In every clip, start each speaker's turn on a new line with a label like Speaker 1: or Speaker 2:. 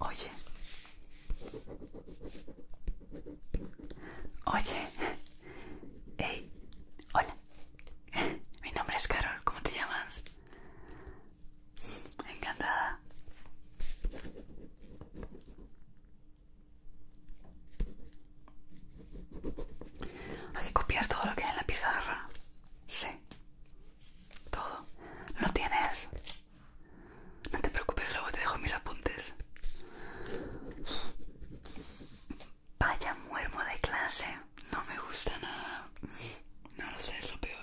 Speaker 1: Oye, oye, hey, hola, mi nombre es Carol, ¿cómo te llamas? Encantada. Hay que copiar todo lo que hay en la pizarra. Sí. Todo. ¿Lo tienes? No te preocupes, luego te dejo mis apuntes. Vaya muermo de clase. No me gusta nada. No lo sé, es lo peor.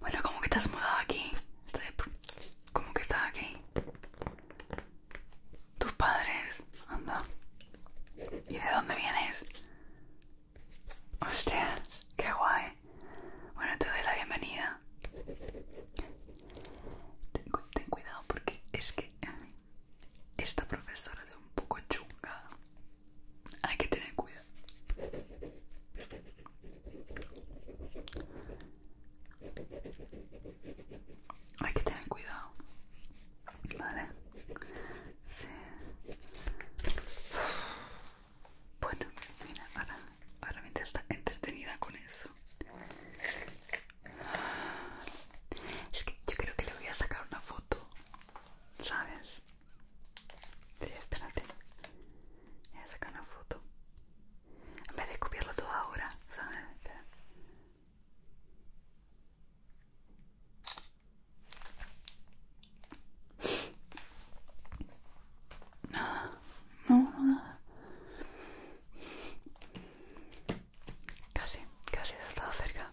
Speaker 1: Bueno, ¿cómo que te has mudado aquí. ¿Cómo que estás aquí. Tus padres. Anda. ¿Y de dónde vienes? Hostia, qué guay. Bueno, te doy la bienvenida. ten cuidado porque es que esta profesora es un poco chunga hay que tener cuidado. Hay que tener cuidado. Vale. Sí. Bueno, mira, ahora, ahora está entretenida con eso. Es que yo creo que le voy a sacar una foto, ¿sabes? Sí, espérate. Voy a sacar una foto. En vez de copiarlo todo ahora, ¿sabes? Nada, no, no, nada. Casi, casi ha estado cerca.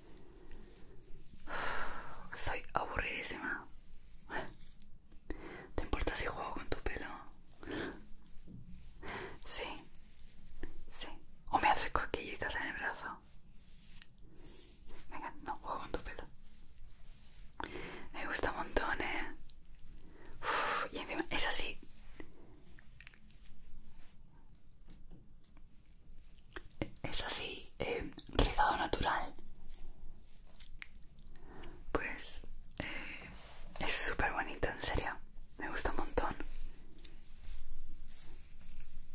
Speaker 1: Soy aburridísima. ¿Te importa si juego con tu pelo? Sí, sí. O me haces cosquillitas en el brazo. Venga, no, juego con tu pelo. Me gusta un montón, eh. y encima es así. Es así, eh, rizado natural. Pues eh, es súper bonito, en serio. Me gusta un montón.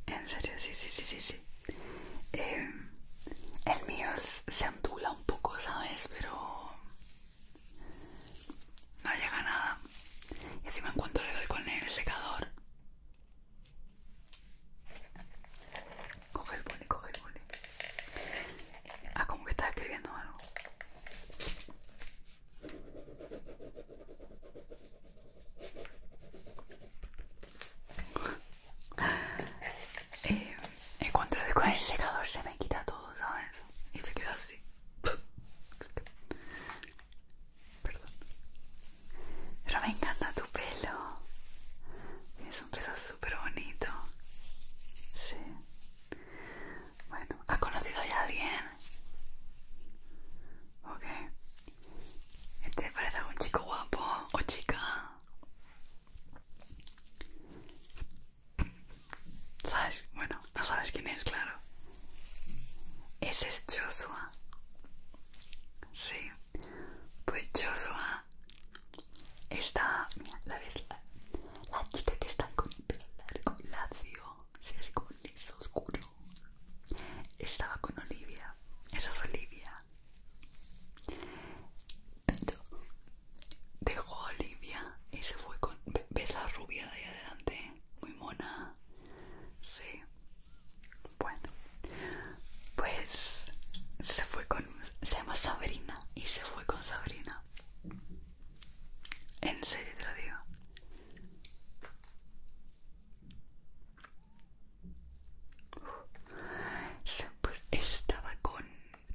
Speaker 1: En serio, sí, sí, sí, sí, sí. Eh, el mío se ondula un poco, ¿sabes? Pero no llega nada. Y encima en cuanto le doy con el secador. Coge el boli, coge el Ah, como que está escribiendo algo. en eh, cuanto le doy con el secador se me quita todo, ¿sabes? Y se queda así. Perdón. Pero me encanta tu pelo. Es un pelo súper bonito. Sí. Bueno, ¿has conocido ya a alguien? Ok. ¿Te parece algún chico guapo o chica? Flash, bueno, no sabes quién es, claro. Ese es Joshua. Sí, pues Joshua está. Mira, la ves, la, chica que está con el pelo largo, lacio, sí, así como liso, oscuro. Estaba con Olivia, esa es Olivia. dejó a Olivia y se fue con. ¿Ves la rubia de ahí adelante? Muy mona. Sí. Bueno. Pues se fue con... Se llama Sabrina y se fue con Sabrina. En serio te lo digo. pues estaba con,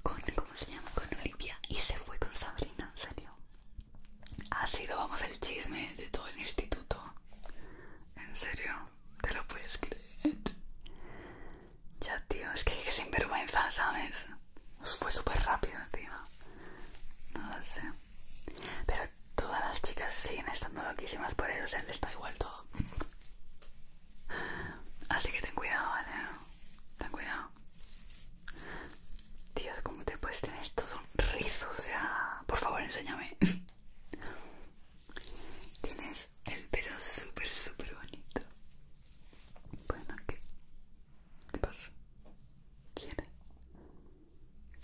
Speaker 1: con... ¿Cómo se llama? Con Olivia y se fue con Sabrina, en serio. Ha sido, vamos, el chisme de todo el instituto. En serio, te lo puedes creer. Ya, tío, es que, sin vergüenza, ¿sabes? Fue súper rápido tío. No lo sé. Pero todas las chicas siguen estando loquísimas por él, o sea, les da igual todo. Así que ten cuidado, ¿vale? Ten cuidado. Dios, ¿cómo te puedes tener estos sonrisos, O sea, por favor, enséñame. Tienes el pelo súper, súper bonito. Bueno, ¿qué? ¿Qué pasa? ¿Quién?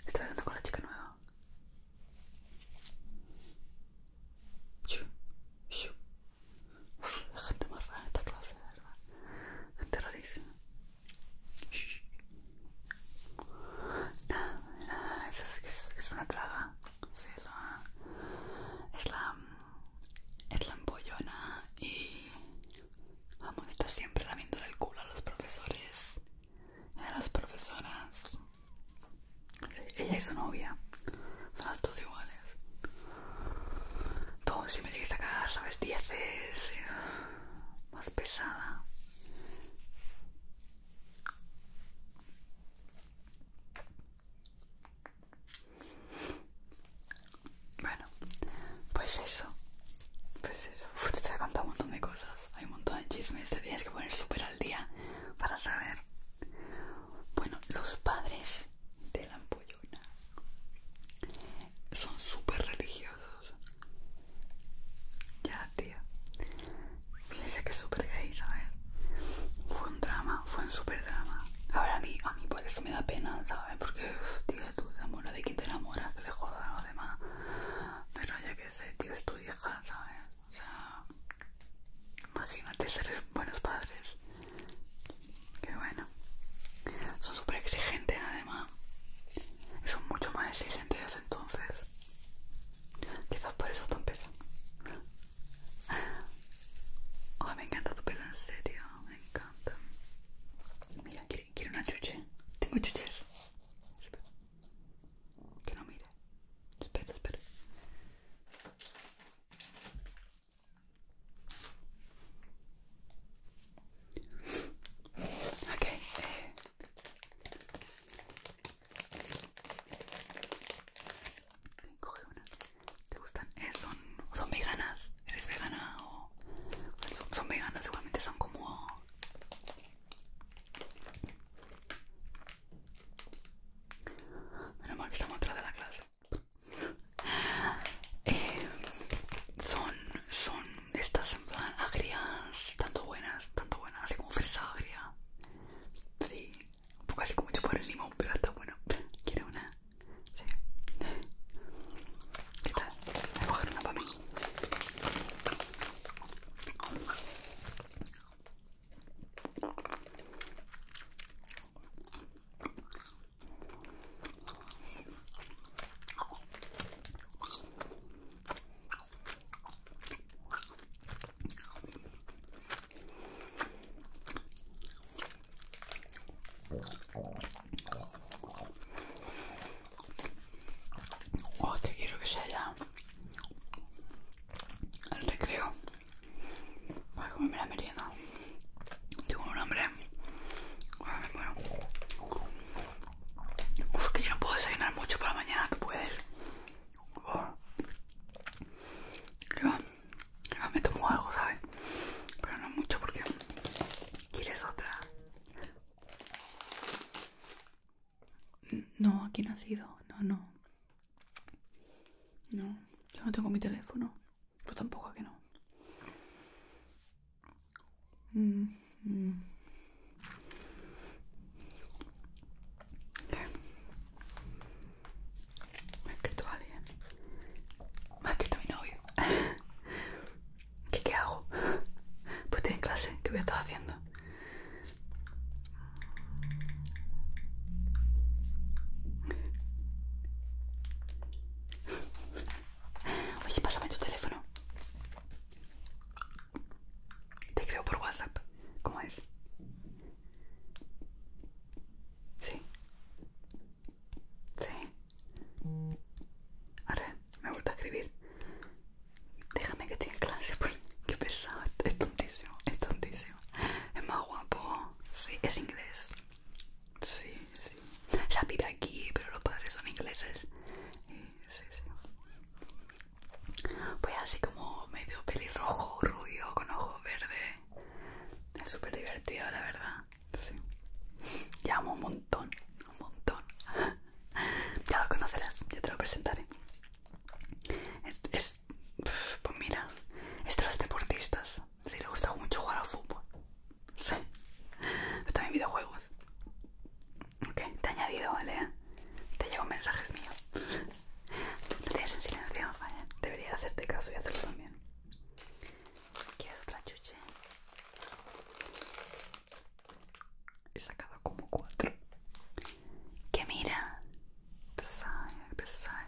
Speaker 1: Estoy hablando con la chica nueva. Shu, gente más rara en esta clase, ¿verdad? Gente rarísima es, es, una traga. es, la, es la. empollona y. Vamos, está siempre lamiéndole el culo a los profesores a las profesoras. ella y su novia son las dos iguales. Todos, si me llegues a casa, sabes, 10 veces más pesada bueno pues eso pues eso te voy a un montón de cosas hay un montón de chismes te tienes que poner súper al día para saber bueno los padres de la ampollona son súper religiosos. Ya, tío. Fíjense que es súper gay, ¿sabes? Fue un drama, fue un súper drama. Ahora a mí, a mí por eso me da pena, ¿sabes? Porque, tío, tú te enamoras de quien te enamoras, le jodan a los demás. Pero ya que sé, tío, es tu hija, ¿sabes? O sea, imagínate ser buenos padres. Qué bueno. Son súper exigentes además. Son mucho más exigentes desde entonces. Quizás por eso tan pesado. me encanta tu pelo, en serio. Me encanta. Mira, ¿quiere quiero una chuche. Tengo chuches. Espera. Que no mire. Espera, espera. Ok. Eh. ¿Te gustan? Eh, son, veganas. ¿Eres vegana o...? Son, son veganas, seguramente son como... Menos mal que estamos atrás de la clase. Eh, son, son estas agrias, tanto buenas, tanto buenas, así como fresa agria. Sí, un poco así como mucho por el limón, pero está bueno. quiero una? ¿Qué tal? Voy a coger una para mí. O oh, que quiero que sea ya el recreo para comerme la merienda. Tengo un hambre. bueno. Uf, que yo no puedo desayunar mucho para mañana, ¿tú puedes? me tomo algo, ¿sabes? Pero no mucho porque quieres otra. No, aquí no ha sido. No, no. No, yo no tengo mi teléfono. Tú tampoco, ¿a que no? Mm, mm. Me ha escrito alguien. Me ha escrito mi novio. ¿Qué, ¿Qué hago? Pues estoy en clase. ¿Qué voy a estar haciendo? Oye, pásame tu teléfono. Te creo por WhatsApp. ¿Cómo es? Sí. Sí. ver, me he vuelto a escribir. Déjame que estoy en clase, pues. Qué pesado. Es tontísimo. Es tontísimo. Es más guapo. Sí, es inglés. Sí, sí. Ella vive aquí, pero los padres son ingleses. Y, sí, sí. Pues así como medio pelirrojo, rubio, con ojos verdes. Es súper divertido, la verdad. Sí. Llamo un montón, un montón. Ya lo conocerás, ya te lo presentaré. pues mira, estos deportistas. Si le gusta mucho jugar al fútbol. Sí. Está también videojuegos. Ok, te he añadido, ¿vale? Te llevo mensajes míos. No tienes en silencio, Debería hacerte caso y hacerlo también. ¿Quieres otra chuche? He sacado como cuatro. Que mira. Pesar, pesar.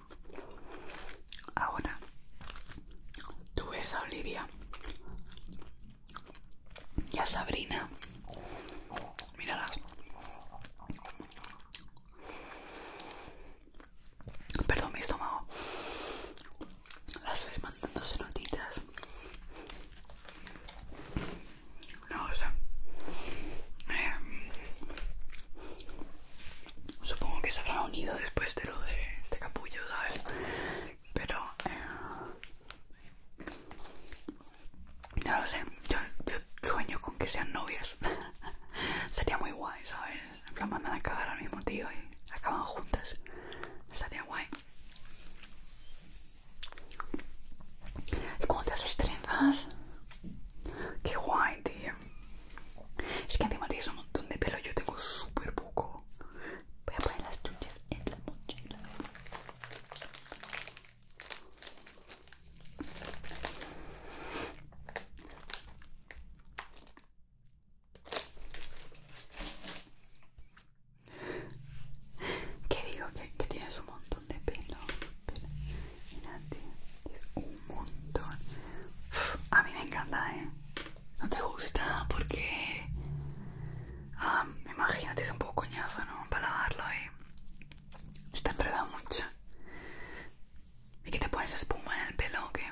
Speaker 1: Ahora, tú ves a Olivia y a Sabrina. Míralas. Perdón, mi estómago. Las ves mandándose notitas. No, o eh, Supongo que se habrán unido después de lo de este capullo, ¿sabes? Pero... Eh, no lo sé, yo, sueño con que sean novias. Sería muy guay, ¿sabes? En plan, mandan a cagar al mismo tío y acaban juntas. Estaría guay. ¿Y con te haces trenzas? Qué guay, tío. Es que encima tienes un montón de pelo, yo tengo súper poco. Voy a poner las chuchas en la mochila. ¿Qué digo? Que, tienes un montón de pelo a mí me encanta, ¿eh? ¿No te gusta? Porque... Ah, me es un poco coñazo, ¿no? Para lavarlo, y... ¿eh? Se te enreda mucho. ¿Y que te pones espuma en el pelo que...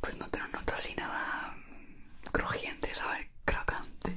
Speaker 1: Pues no te notas así nada crujiente, ¿sabes? Crocante.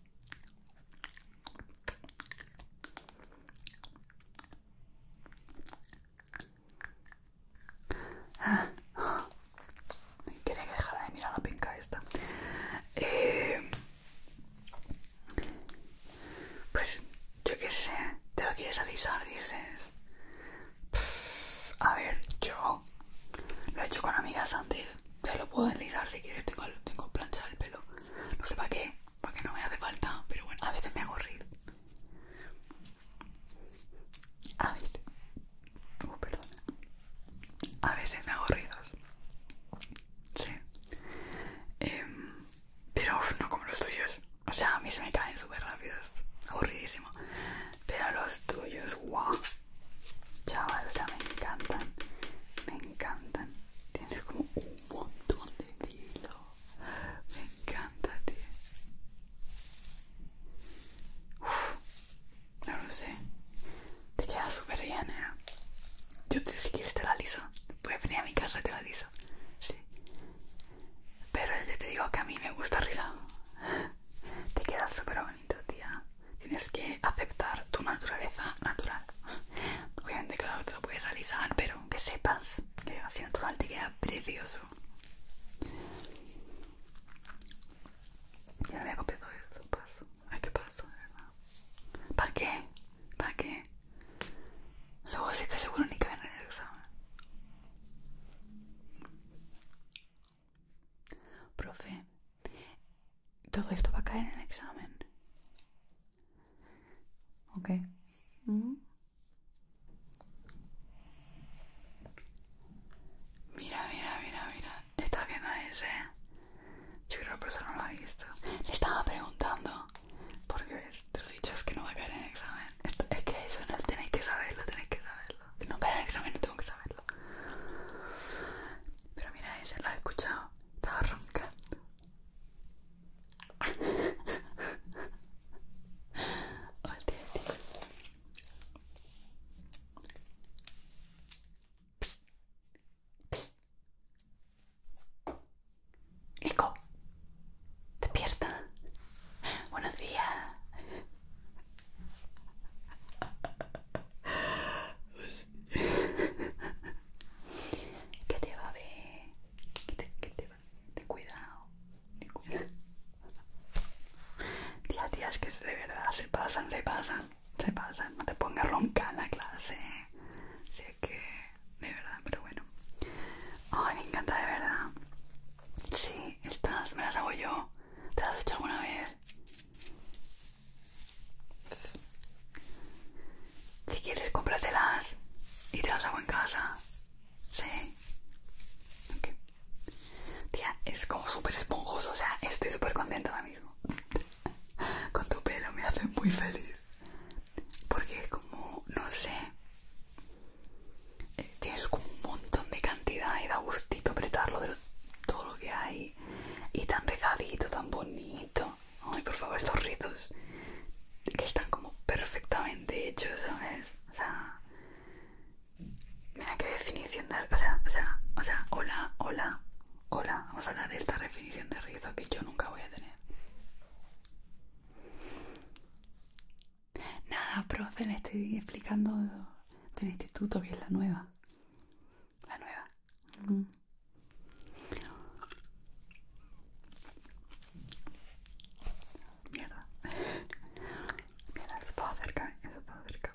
Speaker 1: Ah. Quería que dejara de mirar la pinca esta. Eh, pues yo qué sé, te lo quieres alisar, dices. a ver, yo lo he hecho con amigas antes. Te lo puedo alisar si quieres, tengo, tengo plancha el pelo. No sé para qué, porque no me hace falta, pero bueno, a veces me hago A veces. Oh, a veces me hago Sí. Em, pero no como los tuyos. O sea, a mí se me caen súper rápidos. Aburridísimo. Pero los tuyos, guau. Chaval, o sea, me encantan. Me encantan tienes como un montón de pelo. Me encanta, tío. no lo sé. Te queda súper bien, eh. Yo si quieres te la liso. Puedes venir a mi casa y te la liso. Sí. Pero yo te digo que a mí me gusta rizado. Te queda súper bonito, tía. Tienes que aceptar tu naturaleza natural. Obviamente, claro, te lo puedes alisar, pero que sepas que así natural te queda precioso. Ya había copiado eso, paso. Ay, qué paso, ¿Para qué? ¿Para qué? Luego sé que seguro ni caen en el examen. Profe, todo esto va a caer en el examen. ¿Ok? Mira, mira, mira, mira. ¿Estás viendo ese? ¿eh? Yo creo que la persona no lo ha visto. Le estaba preguntando. Porque ves, te lo he dicho, es que no va a caer en el examen. es que eso no tenéis que saberlo, tenéis que saberlo. Si no cae en el examen, no tengo que saberlo. Pero mira ese, lo has escuchado. Estaba roncando. Olé, ¡Eco! despierta. Buenos días. ¿Qué te va a ver. Que te, va te ver? Ten cuidado. Ten cuidado. Tía, tías, que de verdad se pasan, se pasan. Se pasan. No te pongas ronca en la clase. Si es que. De verdad, pero bueno. Ay, me encanta de verdad. Sí, estas me las hago yo. ¿Te las has hecho alguna vez? Si quieres, cómpratelas y te las hago en casa. ¿Sí? Tía, es como súper esponjoso, o sea, estoy súper contenta ahora mismo. Con tu pelo me hace muy feliz. Porque es como, no sé, eh, tienes como un montón de cantidad y da gustito apretarlo de todo lo que hay y tan rizadito, tan bonito. Ay, por favor, estos rizos que están como perfectamente hechos, ¿sabes? O sea, mira qué definición de. O sea, o sea, o sea, hola, hola, hola. Vamos a hablar de esta definición de rizo que yo nunca voy a tener. Nada, profe, le estoy explicando del instituto que es la nueva. La nueva. Mm. Mierda. Mierda, eso estaba cerca, eso cerca.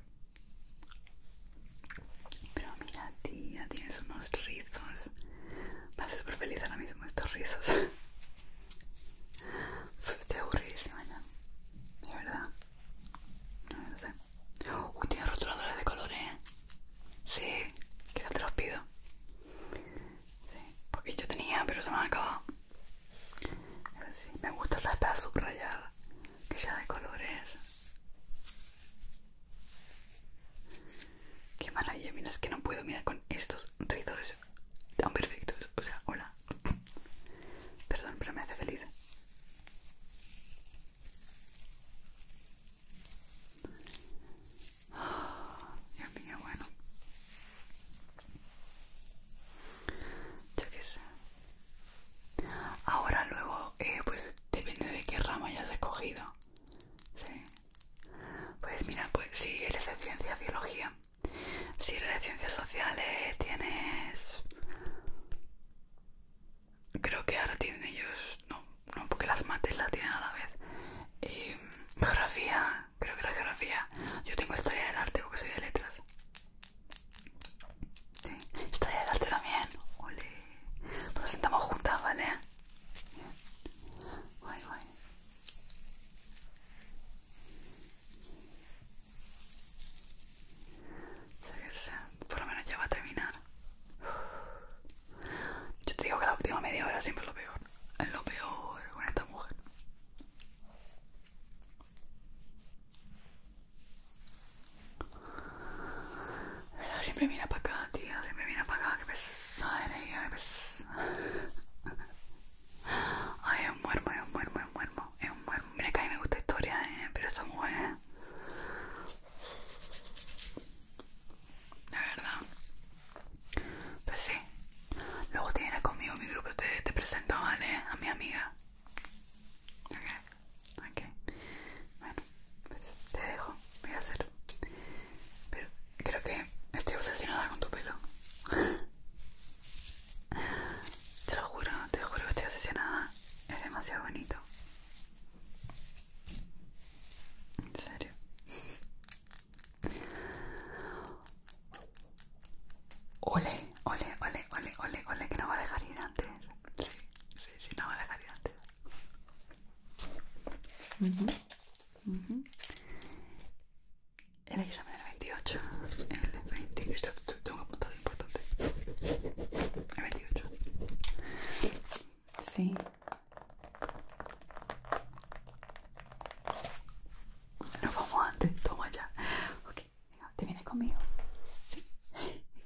Speaker 1: Pero mira, tía, tienes unos rizos. Me hace súper feliz ahora mismo estos rizos. se aburridísima ya. De verdad. No, sé. Uy, tiene rotuladores de colores. ¿eh? Sí, que ya te los pido. porque yo tenía, pero se me han acabado. me gusta, esta Para subrayar. Que ya de colores. Qué mala y mira, es que no puedo. mirar con estos rizos tan perfectos. O sea, hola. Perdón, pero me hace feliz. Dios bueno. qué Ahora luego, eh, pues depende de qué rama hayas escogido. Sí. Pues mira, pues si eres de ciencia biología, si eres de ciencias sociales, tienes Creo que ahora tienen ellos. No, no, porque las mates la tienen a la vez. geografía, creo que la geografía. Yo tengo historia del arte porque soy de letras. Sí, historia del arte también. Ole. Nos sentamos juntas, ¿vale? por lo menos ya va a terminar. Yo te digo que la última media hora siempre es lo peor. Es lo peor con esta mujer. siempre viene para acá, tía. Siempre viene para acá. Que pesada era ella. Ay, es un muermo, es un muermo, es un muermo. un muermo mira que a mí me gusta historia, ¿eh? pero muy bueno. la verdad, pues sí, luego te vienes conmigo, mi grupo te, presento, ¿vale? A mi amiga, ok, ok, bueno, pues te dejo, voy a hacerlo. pero creo que estoy obsesionada con tu pelo. Te lo juro, te juro que estoy obsesionada. Es demasiado bonito. En serio. Ole, ole, ole, ole, ole, ole, que no va a dejar ir antes. Sí, sí, sí, no va a dejar ir antes. Uh -huh. El 28, el 20, esto tengo un apuntar lo importante. El 28. Sí. Nos vamos antes, toma ya. Ok, venga, ¿te vienes conmigo? Sí. Venga.